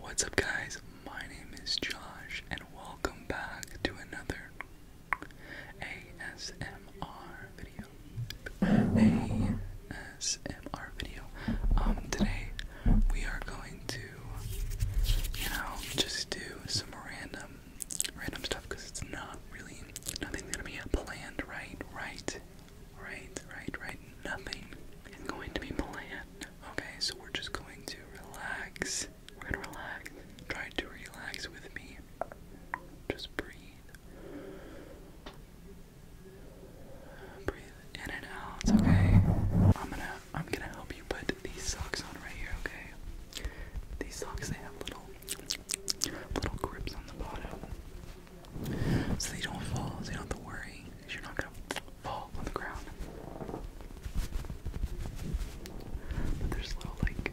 What's up, guys? My name is Josh, and welcome back to another ASMR video. ASMR video. Um, today we are going to, you know, just do some random, random stuff because it's not really nothing's gonna be planned, right? Right? Right, right, right. Nothing is going to be planned. Okay, so we're just going to relax. We're gonna relax. Try to relax with me. Just breathe. Breathe in and out, okay? I'm gonna I'm gonna help you put these socks on right here, okay? These socks they have little little grips on the bottom so they don't fall, so you don't have to worry, you're not going to fall on the ground. But there's little, like,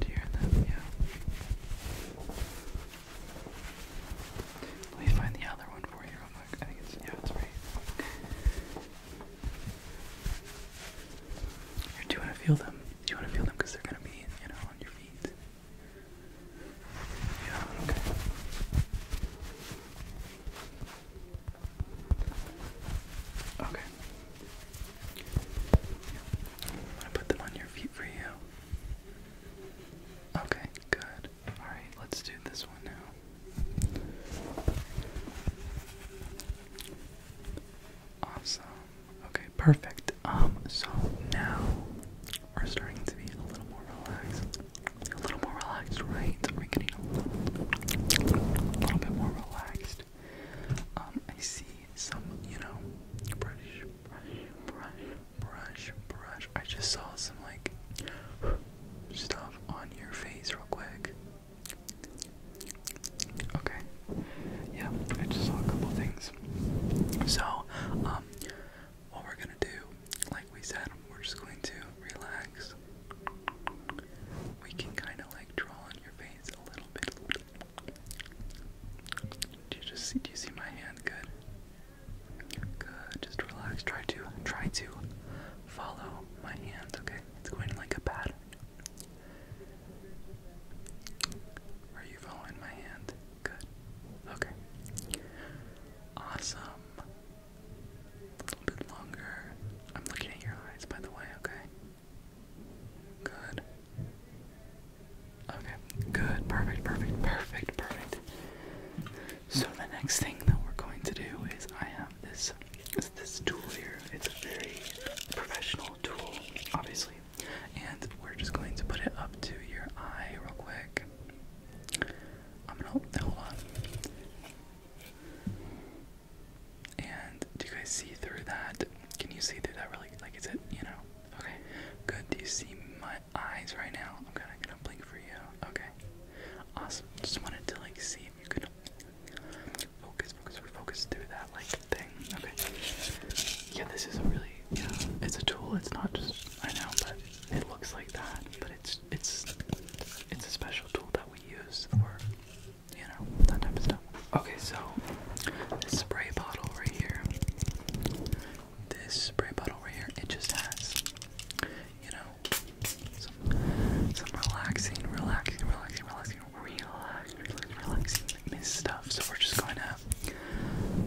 do you them? Yeah. Let me find the other one for you I think it's, yeah, it's right. Here, do want to feel them? you want to feel them? Because they're going to be, you know, on your feet okay. Okay. I'm gonna put them on your feet for you. Okay, good. Alright, let's do this one now. Awesome. Okay, perfect. Um, so now are starting to be a little more relaxed. A little more relaxed, right? we getting a little bit more relaxed. Um, I see some, you know, brush, brush, brush, brush, brush. I just saw some like stuff on your face real quick. Okay. Yeah, I just saw a couple things. So, um, what we're gonna do, like we said, we're just going to relax. We can kind of like draw on your face a little bit. Do you just see, do you see my hand? Good. Good. Just relax. Try to try to follow my hand. Okay, it's going like a pattern. Are you following my hand? Good. Okay. Awesome. A little bit longer. I'm looking at your eyes, by the way, okay? Good. Okay, good. Perfect, perfect, perfect, perfect. So the next thing that we're going to do is I have this this tool here. It's a very professional tool, obviously. And we're just going to put it up to your eye real quick. I'm gonna hold, hold on. And do you guys see through that? Can you see through that really? Like, is it, you know? Okay, good. Do you see my eyes right now? I'm gonna gonna blink for you. Okay, awesome. Just wanted to, like, see if you could focus, focus, focus through that, like, thing. Okay. Yeah, this is a really, you know, it's a tool. It's not just, I know, but it looks like that, but it's it's it's a special tool that we use for you know that type of stuff. Okay, so this spray bottle right here, this spray bottle right here, it just has you know some some relaxing, relaxing, relaxing, relaxing, relax, relax, relaxing mist stuff. So we're just going to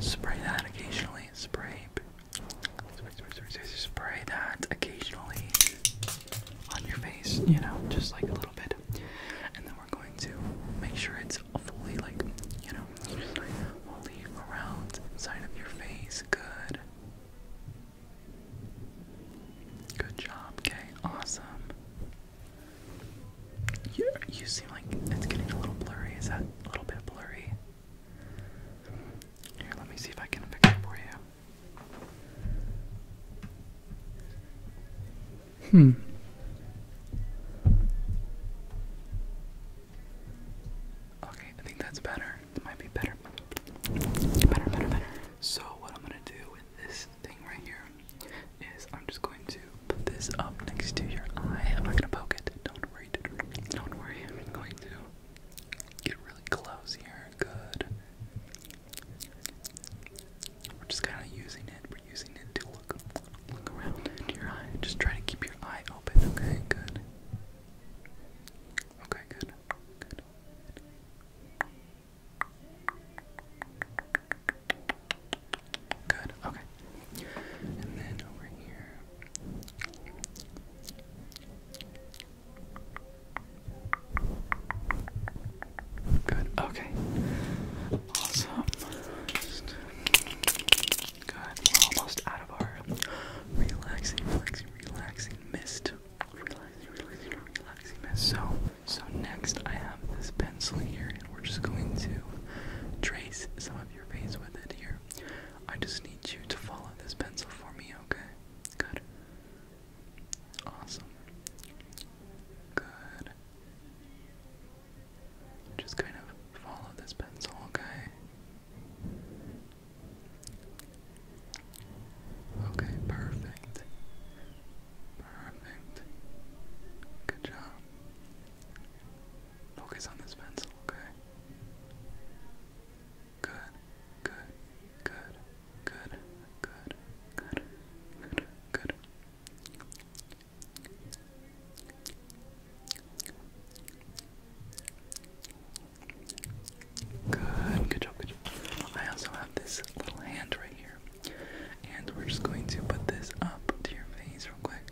spray that occasionally. Spray. Spray that occasionally on your face, you know, just like a little bit. And then we're going to make sure it's fully, like, you know, just around side of your face. Good. Good job, okay, awesome. You, you seem like it's getting a little blurry. Is that a little bit blurry? Here, let me see if I can fix it for you. Hmm. Okay, I think that's better. It might be better. Better, better, better. So what I'm gonna do with this thing right here is I'm just going to put this up next to your eye. I'm not gonna poke it. Don't don't worry, I'm going to get really close here. Good. We're just kind of using it. We're using it to look, look around into your eye. Just try to keep your eye open. Okay, good. Okay, good. Good. Good, okay. And then over here. Good, okay. Awesome. good. almost out of our relaxing, relaxing, relaxing mist. Relaxing, relaxing, relaxing mist. So, so next I have this pencil here, and we're just going to trace some of your face with it here. I just need you to follow this pencil for me, okay? Good. Awesome. Good. Just kind of follow this pencil, okay? Okay, perfect. Perfect. Good job. Focus on this pencil, okay? Good, good, good, good, good, good, good, good. Good, good job, good job. I also have this little hand right here. And we're just going to put this up to your face real quick.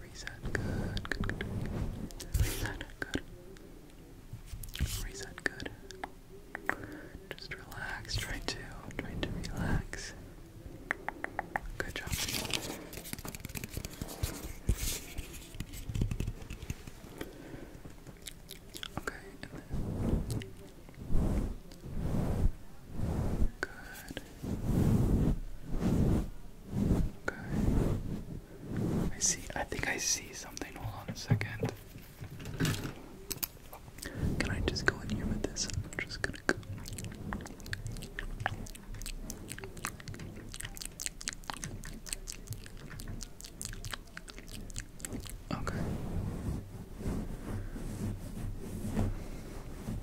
Reset, good, good, Reset, good. Reset, good. Just relax, Trying to, try to relax. Good job. Okay, Good. Okay. I see. I think I see something. Hold on a second. Can I just go in here with this? just gonna Okay.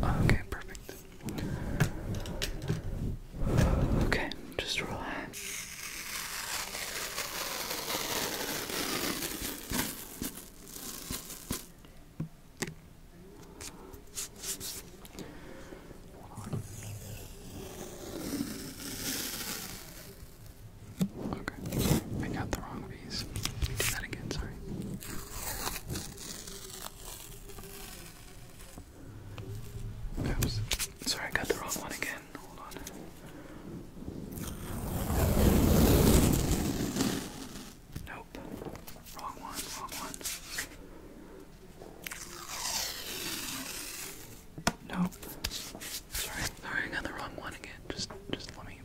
Oh, okay, perfect. Okay, just relax. Okay, sorry. I got the wrong piece. do that again, sorry. Oops. Sorry, I got the wrong one again. Hold on. Nope. Wrong one, wrong one. Nope. Sorry, sorry, I got the wrong one again. Just just let Okay,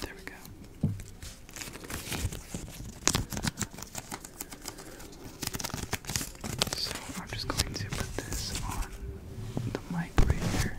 there we go. So I'm just going to put this on the mic right here.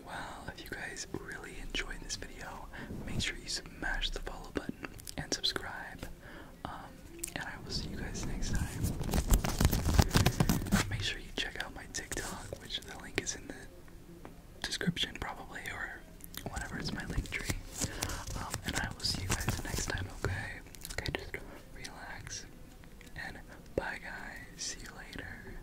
well. If you guys really enjoyed this video, make sure you smash the follow button and subscribe. Um, and I will see you guys next time. Make sure you check out my TikTok, which the link is in the description probably, or whatever, it's my link tree. Um, and I will see you guys next time, okay? Okay, just relax. And bye guys, see you later.